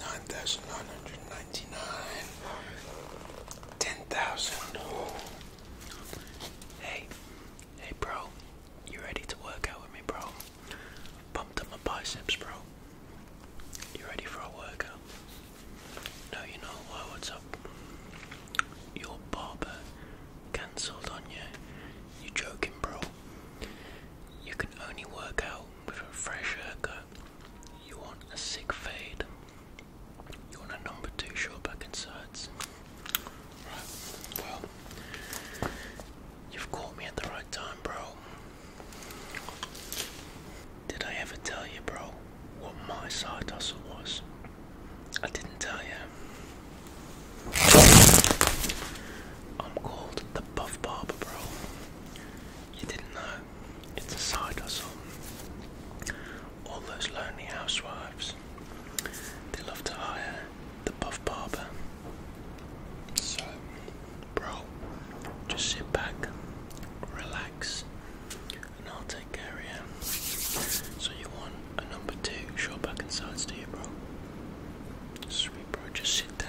nine thousand nine hundred ninety nine, ten thousand. Hey, hey, bro, you ready to work out with me, bro? Pumped up my biceps, bro. You ready for a workout? No, you know why? What's up? Your barber cancelled on you. You joking, bro? You can only work out with a fresh haircut you want a sick fade. You want a number two short back and sides. Right, well, you've caught me at the right time, bro. Did I ever tell you, bro, what my side hustle was? I didn't tell you. I'm called the Buff Barber, bro. You didn't know? It's a side hustle. All those lonely housewives. They love to hire the buff barber. So, bro, just sit back, relax, and I'll take care of you. So you want a number two short back and sides, do you, bro? Sweet, bro, just sit down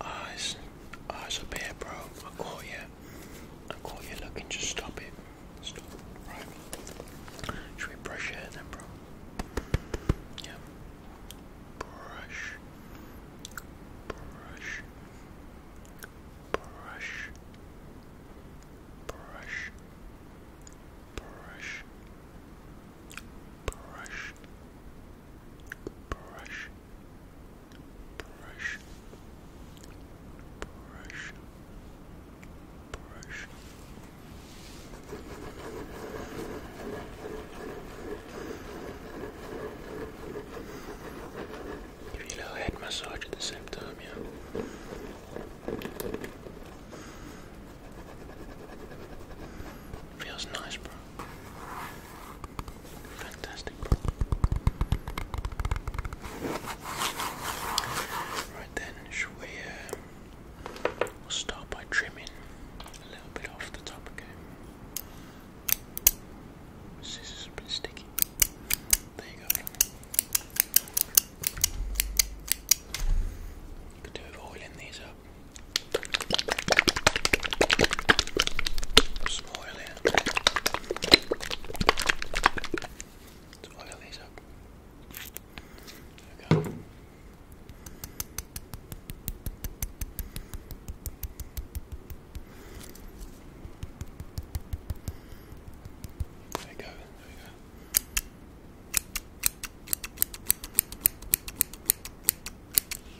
Oh, it's, oh, it's a bear, bro. I caught you. I caught you looking. Just stop it. Stop. Right. Should we brush it then, bro? Yeah. Brush. Brush. Brush. Brush. Brush. Brush. Brush brush, brush, brush, brush. Give you a head massage at the same time, yeah. Feels nice, bro. Fantastic. Right then, shall we uh, we'll start by trimming a little bit off the top again? Scissors are a bit sticky. There you go. You could do with oiling these up. Some oil here. Let's oil these up. There we go. There we go, there we go.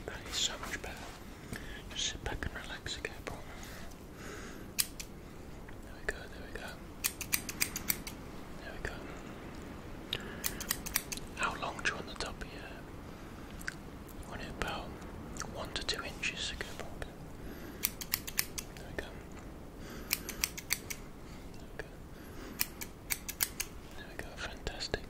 That is so much better. Just sit back and relax, again, bro? There we go, there we go. There we go. How long do you want the top of your hair? about one to two inches, okay, bro? There we go. There there we go, fantastic.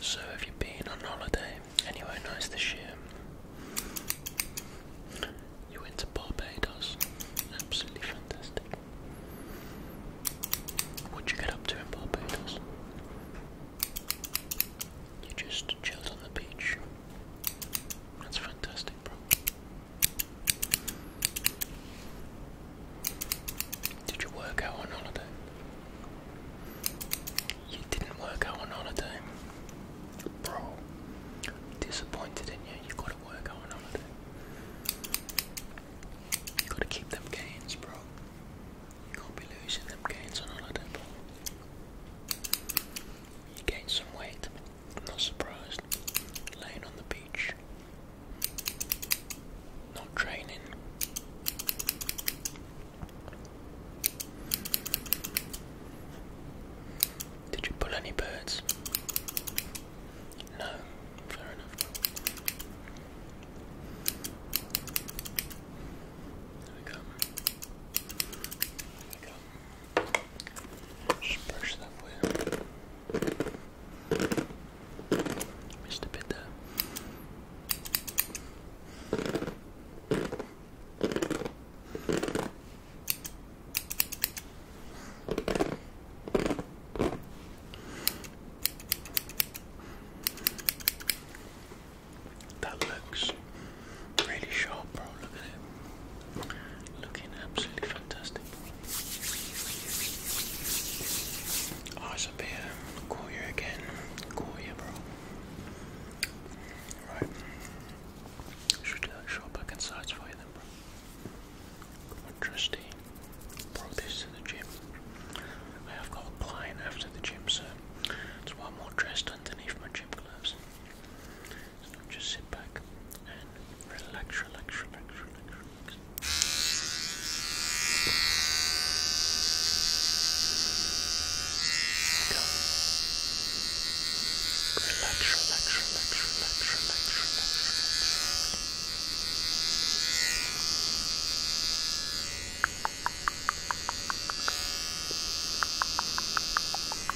So, have you been on holiday anywhere nice this year? You went to Barbados. Absolutely fantastic. What'd you get up to in Barbados? You just chilled on the beach. That's fantastic, bro. Did you work out on holiday? You didn't work out on holiday. Bro, disappointed in you. You gotta work out on holiday. gotta keep them gains, bro. You can't be losing them gains on holiday, You gain some weight. I'm not surprised. Laying on the beach. Not training. Did you pull any birds? No, fair enough. There we go. There we go. Just brush that way. Mr. a That looks really sharp, bro. Look at it. Looking absolutely fantastic. I oh, it's up here. Call you again. Call you, bro. Right. Should uh, show back inside for you then, bro. trusty. Brought this to the gym. I have got a client after the gym, so it's one more dressed underneath my gym gloves. So just sit back and relax, relax, relax, relax, relax. Go. Relax, relax, relax, relax, relax, relax, relax.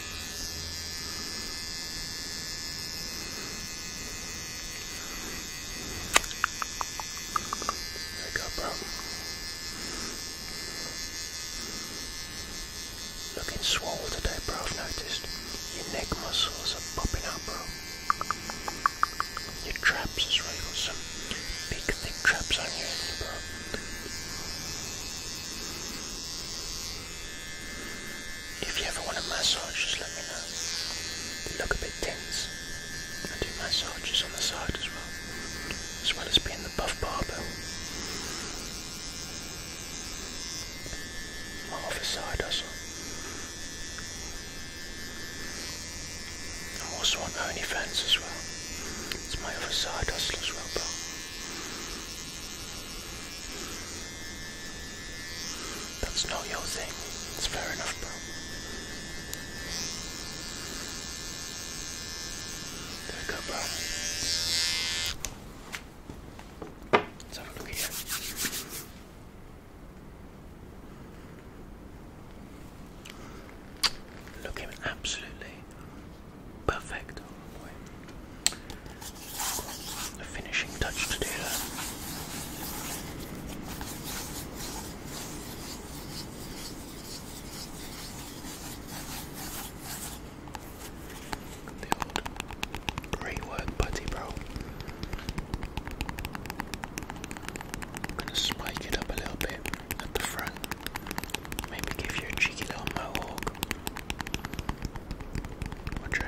There you go, bro. Looking swole today, bro. I've noticed. Your neck muscles are popping out, bro. Your traps as well. you got some big, thick traps on you, bro. If you ever want a massage, just let me know. They look a bit tense. I do massages on the side as well, as well as being the buff barber. Half a side hustle. I'm also on OnlyFans as well. It's my other side hustle as well, bro. That's not your thing. It's fair enough, bro. There we go, bro. Let's have a look here. Looking absolutely Perfect. Oh finishing touch to do great work, buddy, bro. gonna spike it up a little bit at the front. Maybe give you a cheeky little mohawk. What do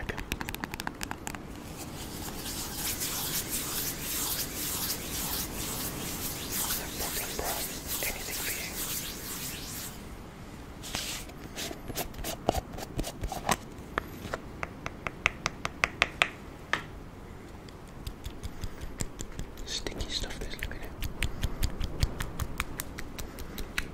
Anything for you. Sticky stuff this, look at it.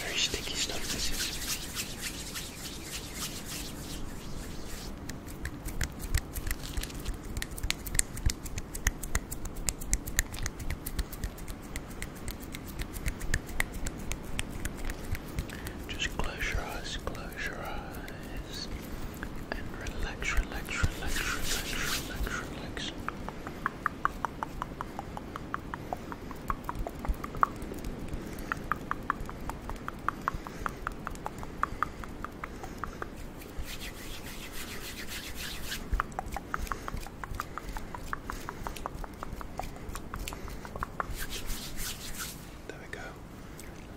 Very sticky stuff this is. Just close your eyes, close your eyes. And relax, relax, relax, relax, relax, relax. There we go.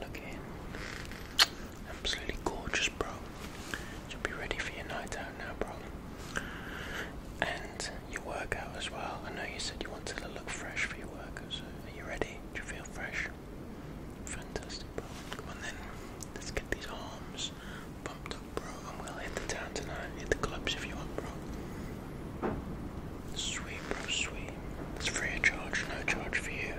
Look in. Absolutely gorgeous, bro. You'll be ready for your night out now, bro. And your workout as well. I know you said you wanted to look fresh for your workout, so are you ready? Do you feel fresh? Fantastic, bro. Come on then. Let's get these arms pumped up, bro. And we'll hit the town tonight. Hit the clubs if you want, bro. Sweet, bro, sweet. It's free of charge, no charge for you.